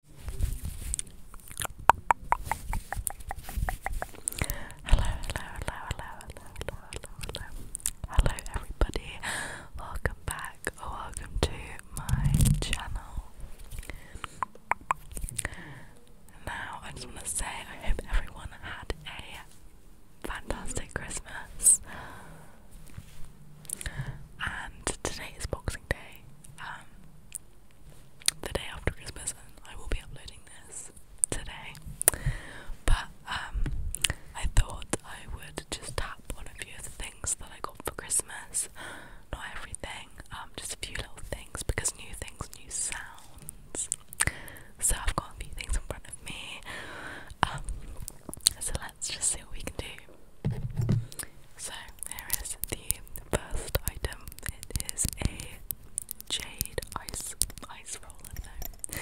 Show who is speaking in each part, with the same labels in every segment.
Speaker 1: hello, hello, hello, hello, hello, hello, hello everybody. Welcome back welcome to my channel. Now I just want to say I hope everyone had a fantastic Christmas. And today box Day, um, the day after Christmas, I will be uploading this today. But um, I thought I would just tap on a few of the things that I got for Christmas. Not everything, um, just a few little things because new things, new sounds. So I've got a few things in front of me. Um, so let's just see what we can do. So here is the first item. It is a jade ice ice roller,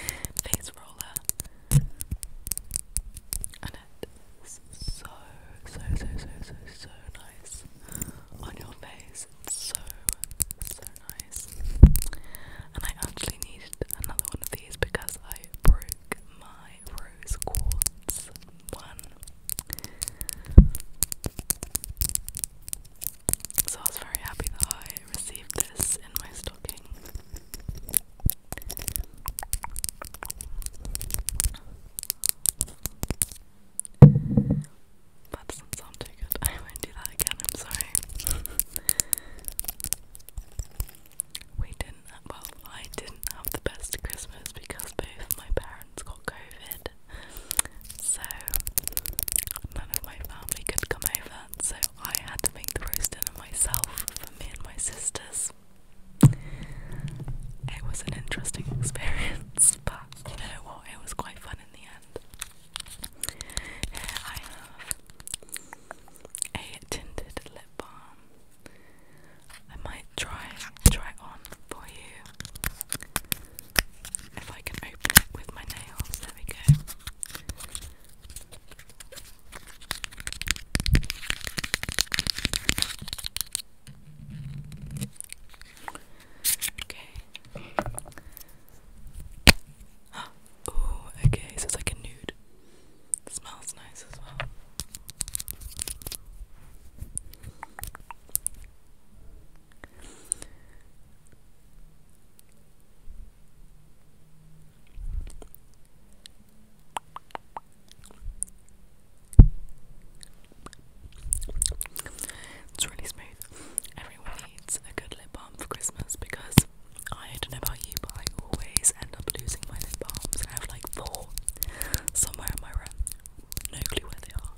Speaker 1: and it's so so so so so so nice on your face. so so nice. And I actually need another one of these because I broke mine rose quartz one. So I was very happy that I received this in my stocking. That doesn't sound too good. I won't do that again, I'm sorry we didn't, well, I didn't have the best Christmas because both my parents got COVID, so none of my family could come over, so I had to make the roast dinner myself for me and my sisters. It was an interesting experience, but you know what? It was quite fun in the end. I have a tinted lip balm. I might try try on for you. If I can open it with my nails, there we go. Okay. oh, okay, so it's like a nude. It smells nice as well. It's really smooth. Everyone needs a good lip balm for Christmas because I don't know about I always end up losing my lip balms. I have like four somewhere in my room. No clue where they are.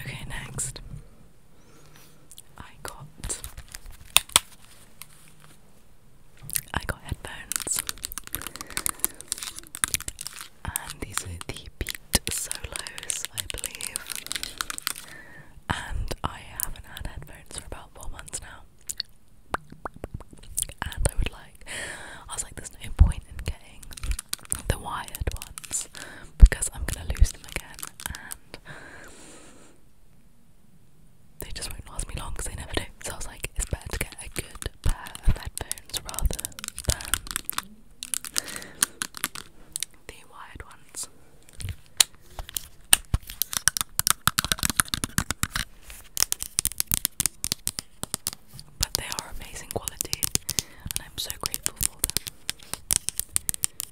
Speaker 1: Okay, next. I got I got headphones and these are the Beat Solos I believe and I haven't had headphones for about four months now and I would like I was like there's no point in getting the wired ones because I'm gonna lose them again they just won't last me long because they never do. So I was like, it's better to get a good pair of headphones rather than the wired ones. But they are amazing quality, and I'm so grateful for them.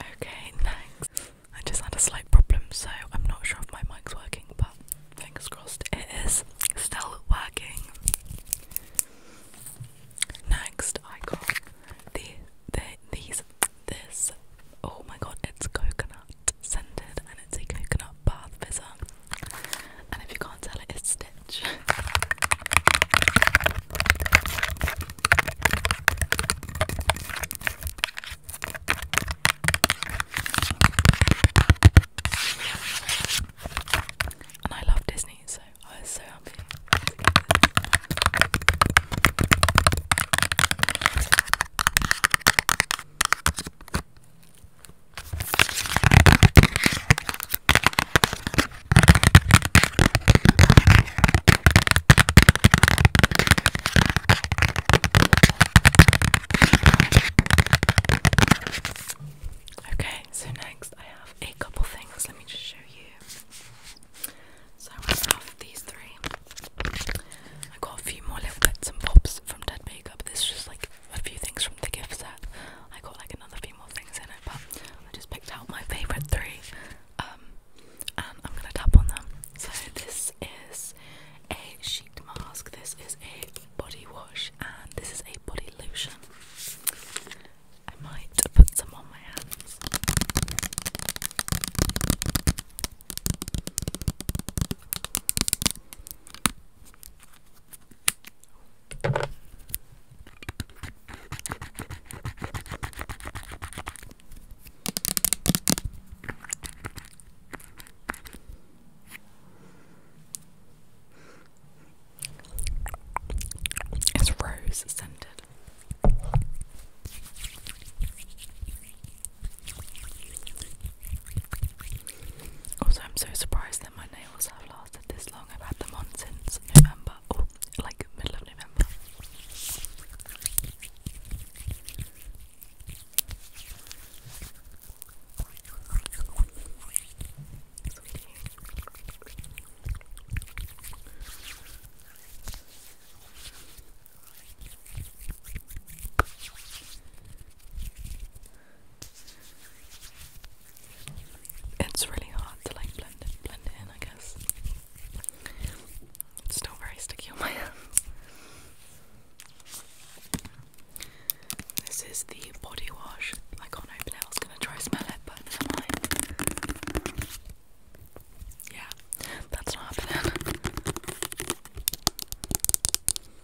Speaker 1: Okay, thanks. I just had a slight problem, so I'm not sure if my mic's working, but fingers crossed it is still working. Next, I got the, the these this. Oh my god, it's coconut scented and it's a coconut bath fizzle. And if you can't tell it's Stitch. And I love Disney, so I was so happy. Okay, so next I have a couple things. Let me just show you. So I have these three. I got a few more little bits and pops from Dead Baby. This is just like a few things from the gift set. I got like another few more things in it, but I just picked out my favorite three, um, and I'm gonna tap on them. So this is a sheet mask. This is a body wash, and this is a body lotion. I might put some on my hands. It's rose scented. Also, I'm so surprised that my nails have lasted this long. I've had them on since November, oh, like middle November. It's really hard to like blend it, blend it in, I guess. still very sticky on my hands. This is the body wash. I can't open it. I was gonna try smell it, but Yeah, that's not happening.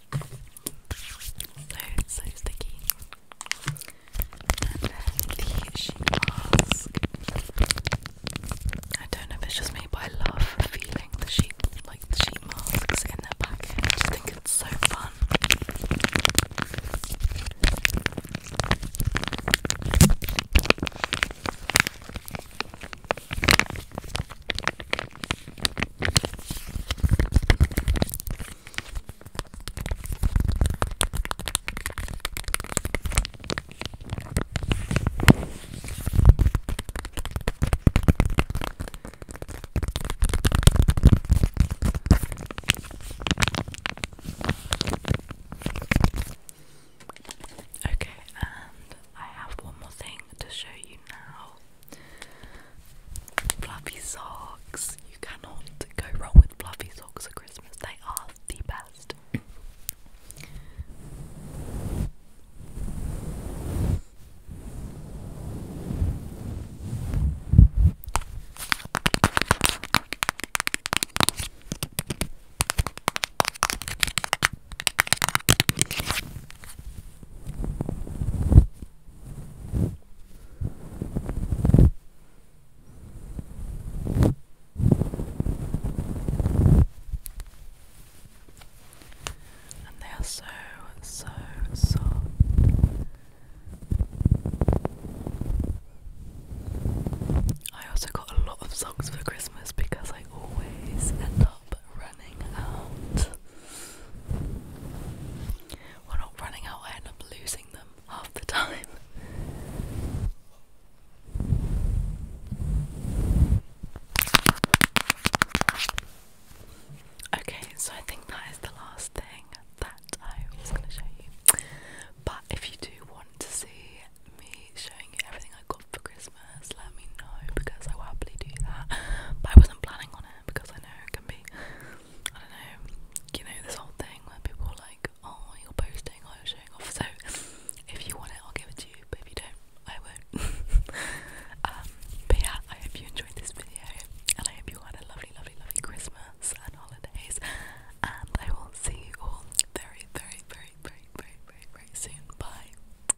Speaker 1: So, so sticky. And then the sheet mask. I don't know if it's just me, but I love feeling the sheet, like the sheet masks in their packet. I just think it's so fun. Okay, and I have one more thing to show you now. Fluffy socks. You cannot go wrong with fluffy socks at Christmas. They are the best. And they are so, so soft. I also got a lot of songs for Christmas because I always end up we're not running out, I end up losing them half the time. Okay, so I think that is the last thing that I was going to show you. But if you do want to see me showing you everything I got for Christmas, let me know because I will happily do that. But I wasn't planning on it because I know it can be, I don't know, you know, this whole thing where people are like, oh, you're posting, oh, you're showing off. So if you want it, I'll give it to you, but if you don't, I won't. um, but yeah, I hope you enjoyed this video and I hope you had a lovely, lovely, lovely Christmas and holidays. And I will see you all very, very, very, very, very, very, very soon. Bye.